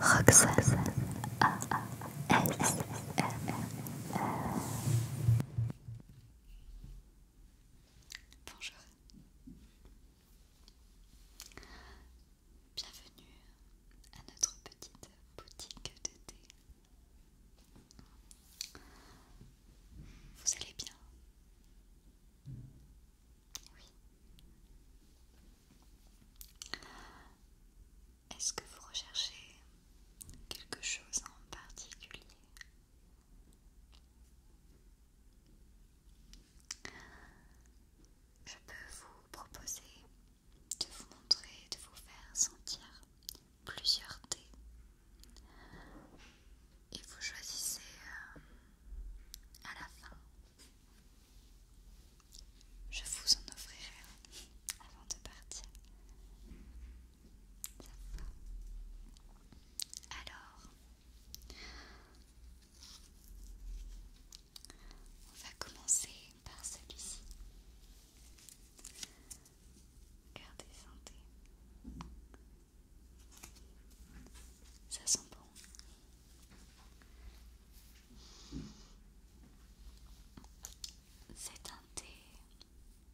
Roxas Bonjour Bienvenue à notre petite boutique de thé Vous allez bien oui. Est-ce que vous recherchez quelque chose en particulier Je peux vous proposer de vous montrer, de vous faire sentir plusieurs dés et vous choisissez euh, à la fin je vous en offrirai un avant de partir. Alors, on va commencer par celui-ci. Gardez santé. Ça sent bon. C'est un thé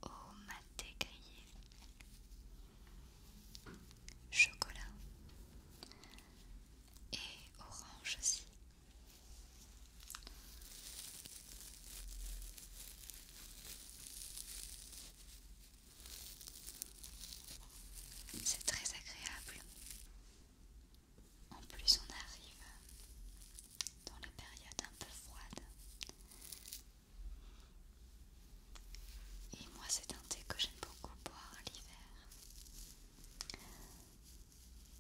au maté grillé, chocolat et orange aussi. C'est très agréable. En plus, on arrive dans la période un peu froide. Et moi, c'est un thé que j'aime beaucoup boire l'hiver.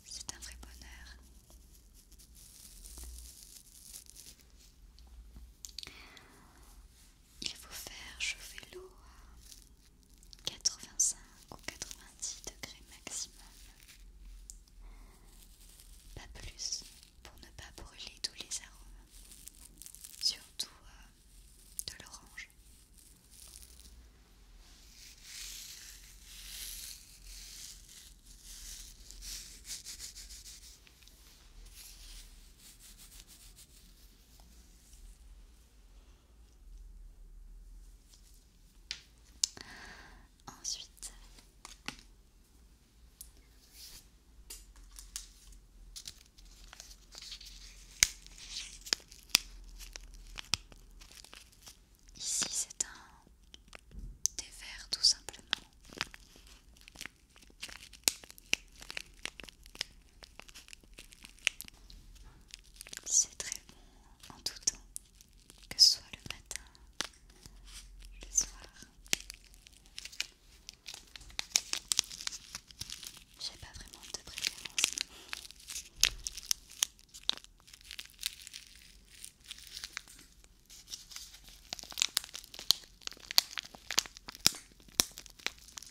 C'est un vrai bonheur. Il faut faire chauffer l'eau 85 ou 90 degrés maximum. Pas plus pour ne pas brûler tous les arômes, surtout euh, de l'orange. Ensuite, ici c'est un des verres tout simplement. C'est très bon en tout temps, que ce soit le matin, le soir. J'ai pas vraiment de préférence.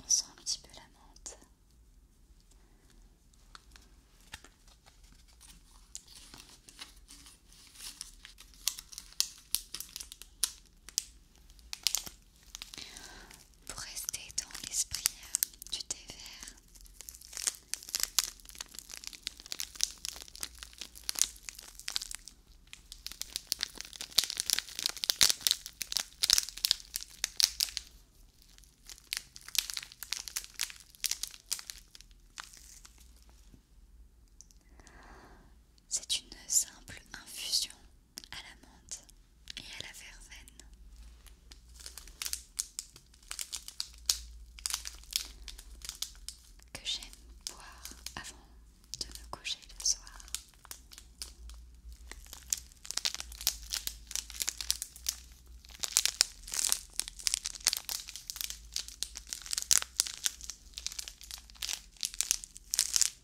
On sent un petit peu la menthe. Pour rester dans l'esprit euh, du thé vert, c'est une simple infusion à la menthe et à la verveine. Que j'aime boire avant de me coucher le soir.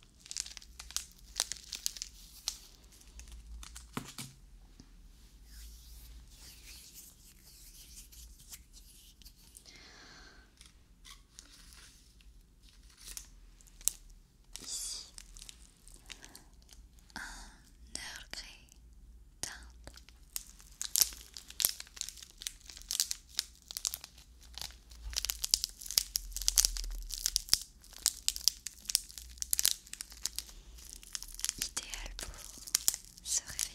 Ici, un Earl gris Idéal pour se réveiller.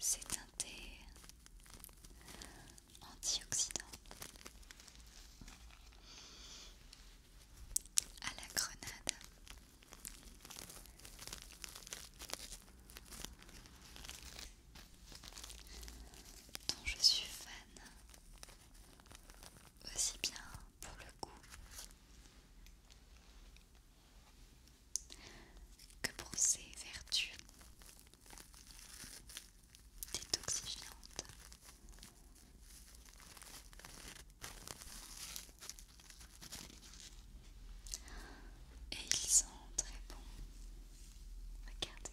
C'est un thé antioxydant à la grenade. dont je suis fan aussi bien pour le coup. Que pour ses vertus détoxifiantes, et ils sont très bons. Regardez,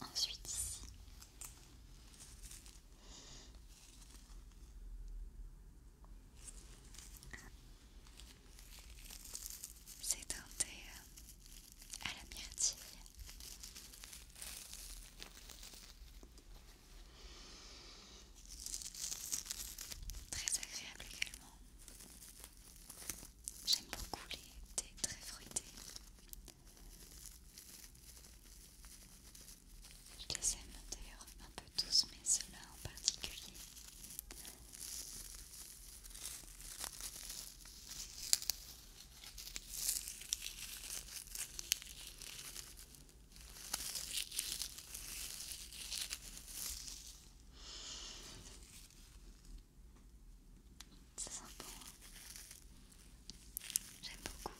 Ensuite ici. C'est thé euh, à la myrtille. Très agréable également. J'aime beaucoup les thés très fruités. Je les aime d'ailleurs un peu tous, mais ceux-là en particulier. C'est sympa. Hein. J'aime beaucoup.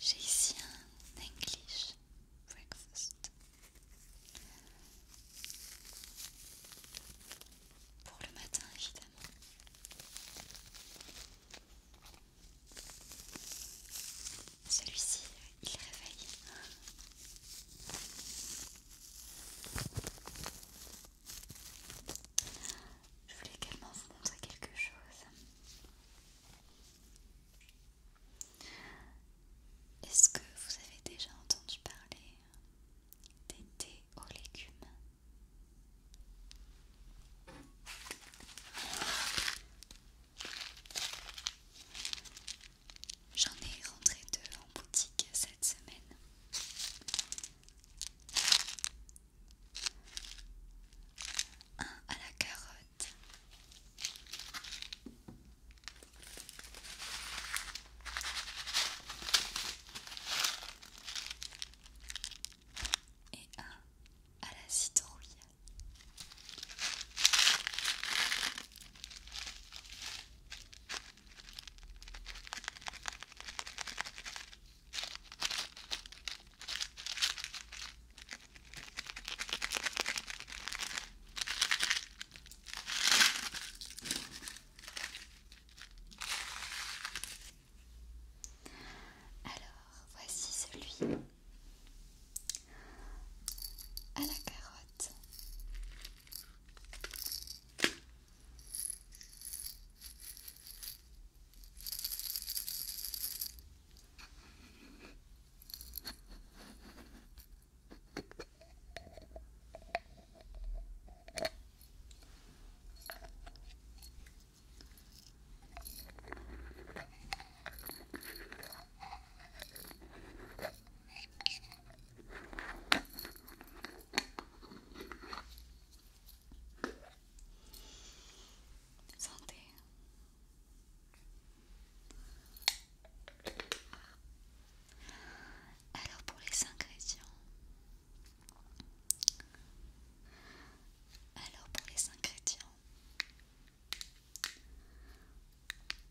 J'ai ici un English breakfast. Pour le matin, évidemment. Celui-ci, il réveille. Je voulais également vous montrer quelque chose. Est-ce que vous avez déjà entendu parler des thés aux légumes J'en ai rentré deux en boutique cette semaine. Un à la carotte. Et un à la citrouille. Alors, voici celui à la carotte. Santé. Alors pour les ingrédients. Alors pour les ingrédients,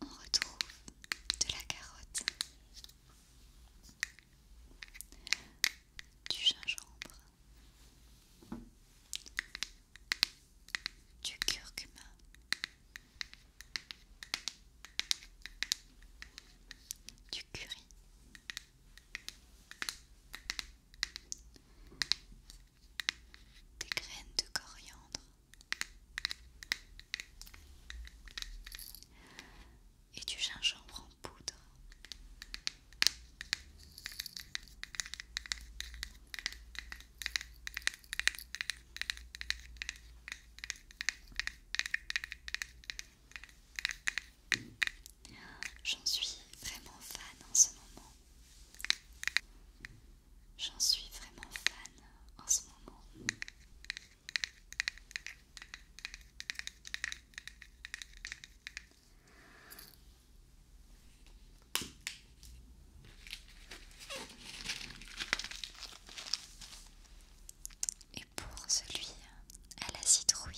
on retrouve de la carotte, du gingembre, du curcuma, du curry des graines de coriandre et du gingembre en poudre. J'en suis vraiment fan en ce moment. J'en suis vraiment fan en ce moment. Et pour celui à la citrouille,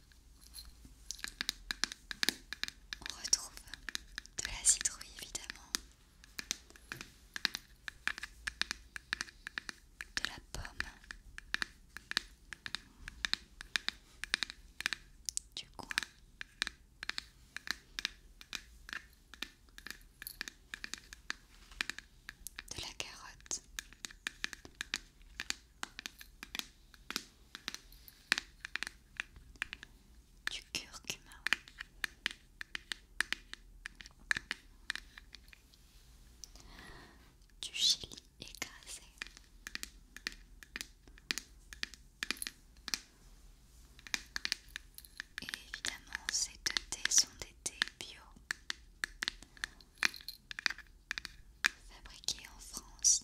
On retrouve de la citrouille évidemment, de la pomme, du coin. De la carotte, du curcuma. Du chili écrasé, et évidemment, ces deux thés sont des thés bio fabriqués en France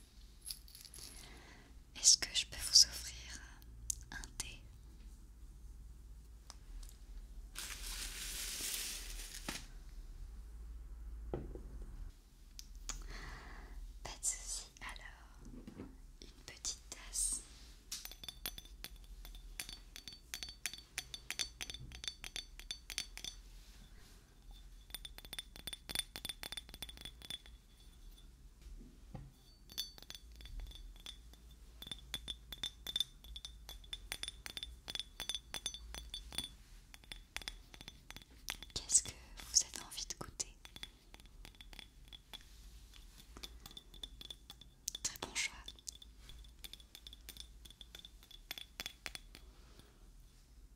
Est-ce que je peux vous offrir un thé Pas de souci. Alors, une petite tasse. Qu'est-ce que vous avez envie de goûter Très bon choix.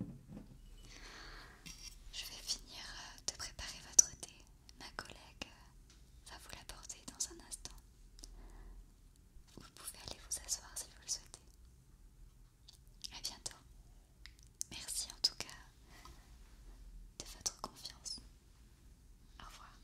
Voilà. Je vais finir euh, de préparer votre thé. Ma collègue euh, va vous l'apporter dans un instant. Vous pouvez aller vous asseoir si vous le souhaitez. À bientôt. Merci en tout cas de votre confiance. Au revoir.